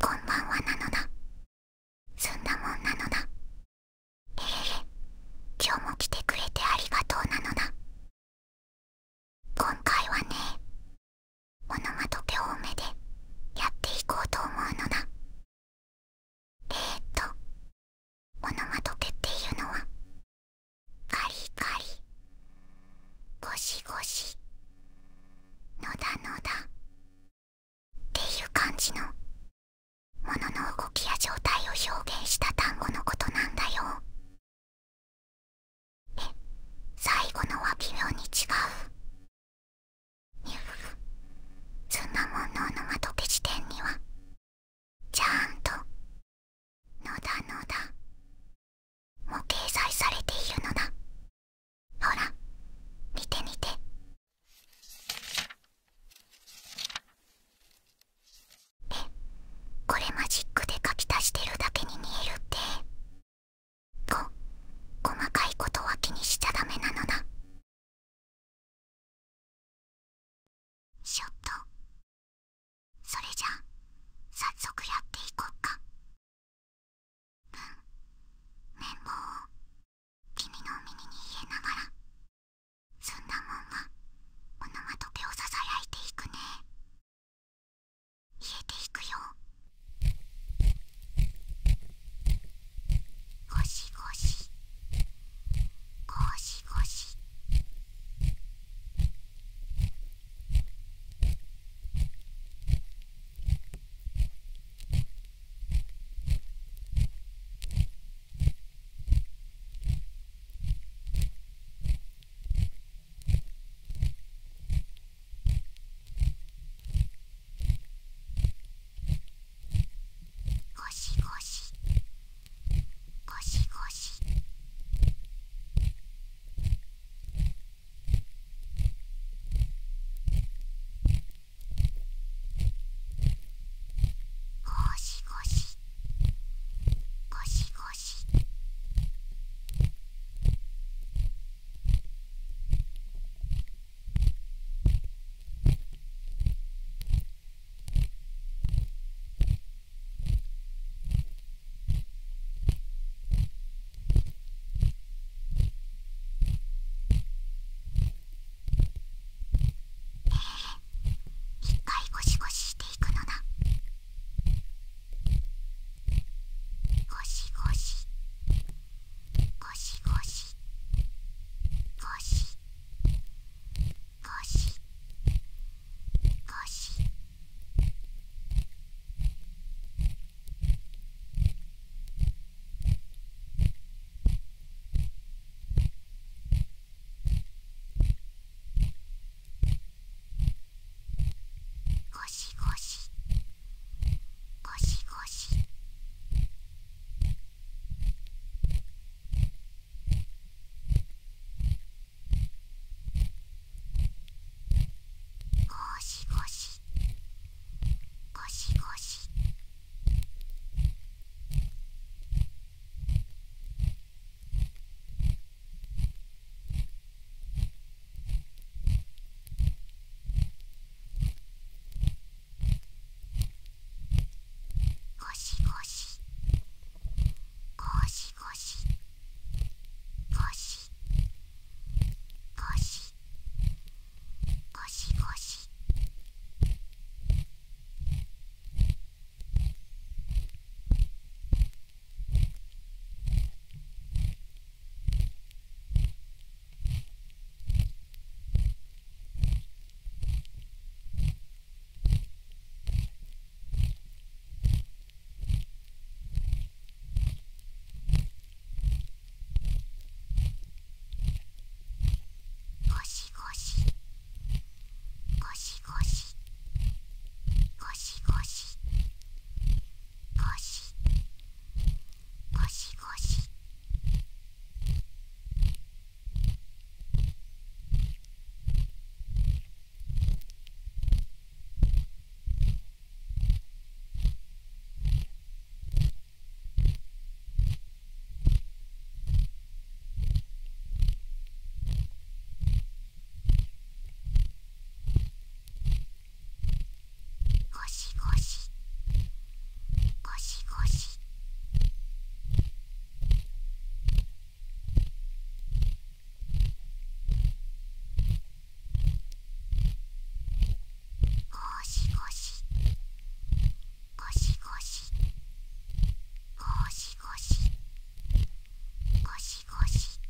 こんばんはなのだすんだもんなのな？えへへ今日も来てくれてありがとうなのだ今回はねオノマトペ多めでやっていこうと思うのだえっとオノマトペっていうのはカリカリゴシゴシノダノダ、っていう感じのものの動きや状態を表現した単語のことなんだよえ最後のは微妙に違うにゅそんなもんのオノマトペ時点にはちゃんとのだのだもう掲載されているのだほら見て見てえこれマジックで書き足してるだけに見えるってこ細かいことは気にしちゃダメなのだちょっとそれじゃあ早速やっていこっかうん綿棒を君のお耳に入れながらそんなもんがオノマトペをささやいていくね入れていくよゴシゴシゴシゴシゴシゴシゴシゴシごしごし、ごしごし…ゴシゴシゴシゴシ一回ゴシゴシしていくのだゴシゴシゴシゴシゴシゴシゴシゴシゴシゴシゴシゴシゴシゴシしごしごしごしゴシゴシゴシゴシゴシゴシゴシゴシシゴシゴシゴシゴシゴシゴシゴシゴシゴシゴシゴシゴシゴシゴシゴシゴシゴシゴシゴシゴシ。シゴシゴシゴシゴシゴシゴシゴシ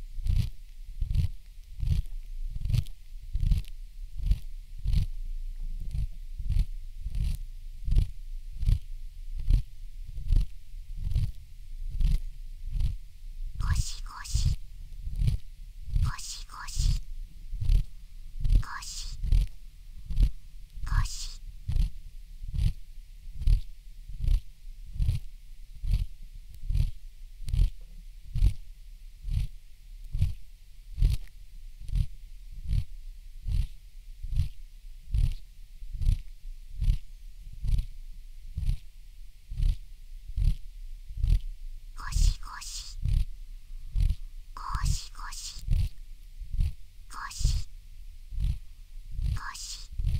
ゴシゴシゴシゴシゴシゴシゴシゴシゴシゴシゴシゴシゴシゴ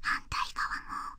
反対側も。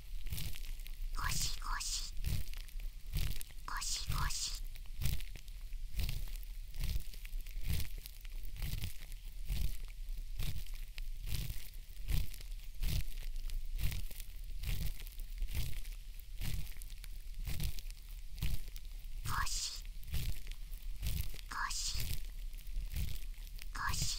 ゴシゴシゴシゴシゴシゴシゴシ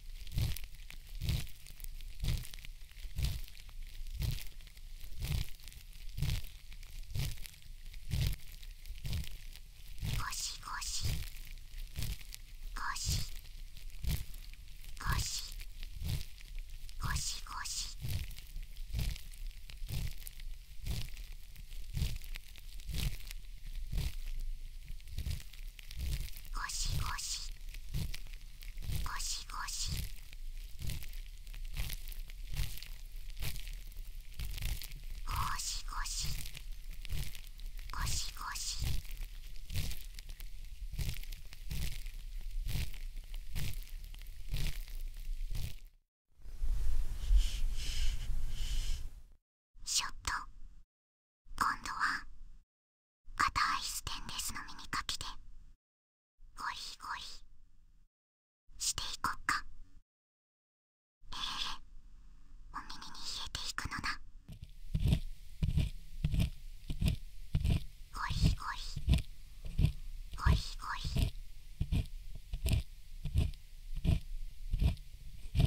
しごしごしごしごしごしゴシゴシゴシゴシゴシゴシゴシゴシショット今度は硬いステンレスの耳かきでゴリゴリしていこっかええお耳に冷えていくのだゴリゴリゴリゴリ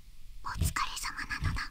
お疲れ様なのだ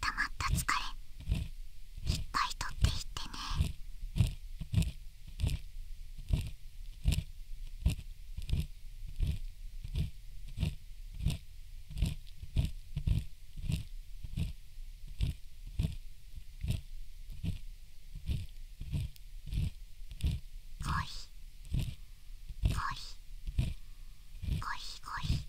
たまった疲れいっぱいとっていってねコーヒーコーヒーヒーヒ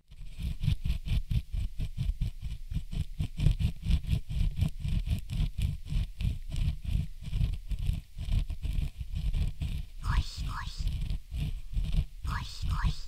ごシごシごシごシゴシ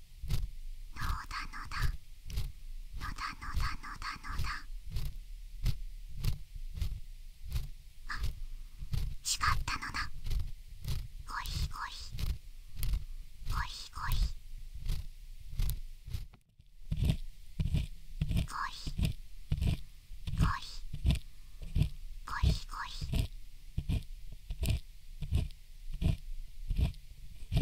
のだのだのだのだのだのだあ違ったのだゴリゴリゴリゴリゴリゴリゴリゴリ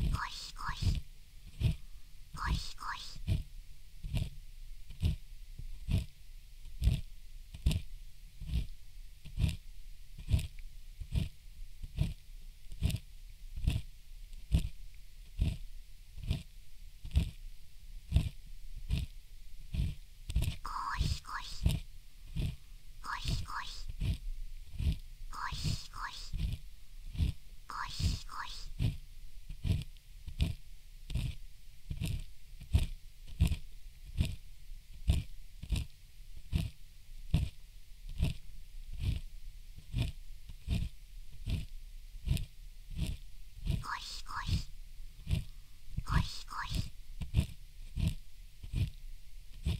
ゴヒゴヒゴヒゴヒゴヒゴヒゴリゴリゴリゴリゴリゴリゴリゴリ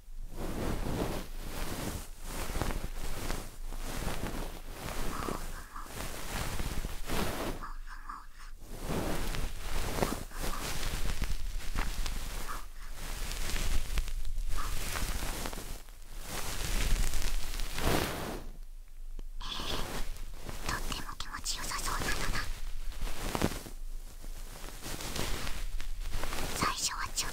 とっても気持ちよさそうなのだ最初はちょっと。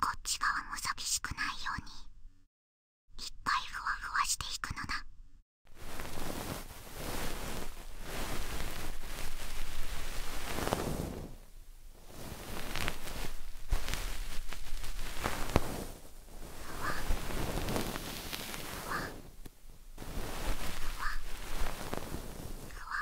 こっち側も寂しくないようにいっぱいふわふわしていくのだ。ふわふふわふわふわふわ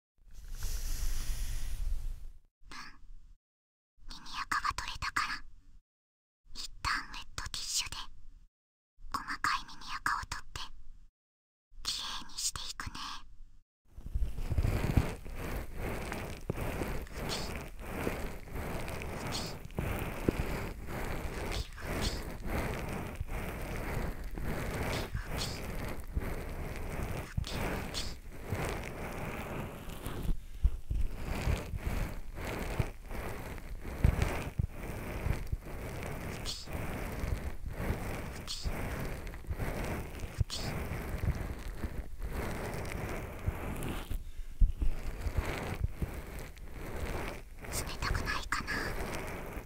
耳垢が取れたからいったんウェットティッシュで細かい耳垢を取ってきれいにしていくね。ふきふきふきふき冷たくないかな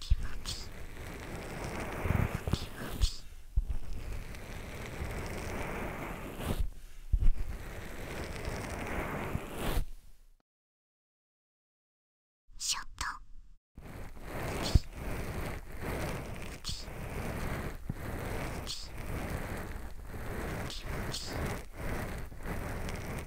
キムキムキショットキキキキキキキキキキキキキキキキキキ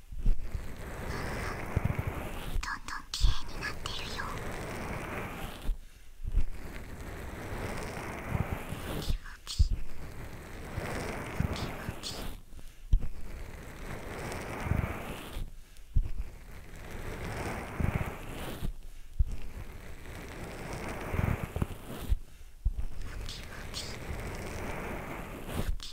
どんどんきれいになってるよムキムキムキムキ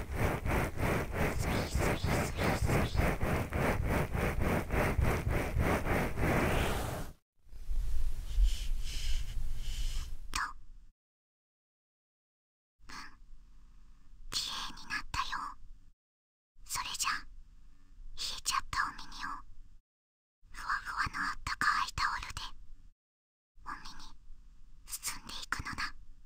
と、ん、になったよそれじゃ冷えちゃったお耳をふわふわのあったかいタオルでお耳包んでいくのだ。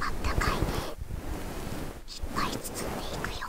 あったかいねいっぱい包んでいくよ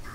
の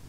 だ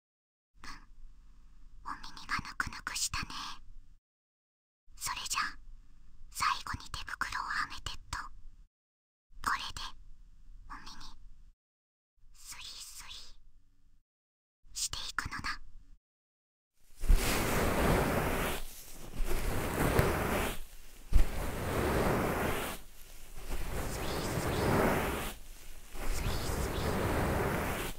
お耳がぬくぬくしたねそれじゃ最後に手袋をはめてっとこれでお耳スイスイしていくのだスイスイスイスイスイスイスイ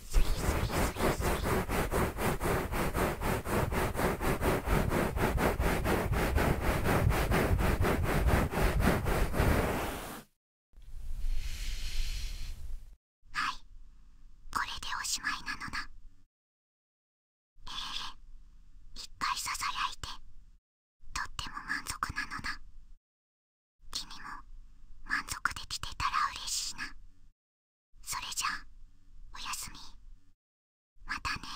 はいこれでおしまいなのなええー、一回ささやいてとっても満足なのな君も満足できてたら嬉しいなそれじゃおやすみまたね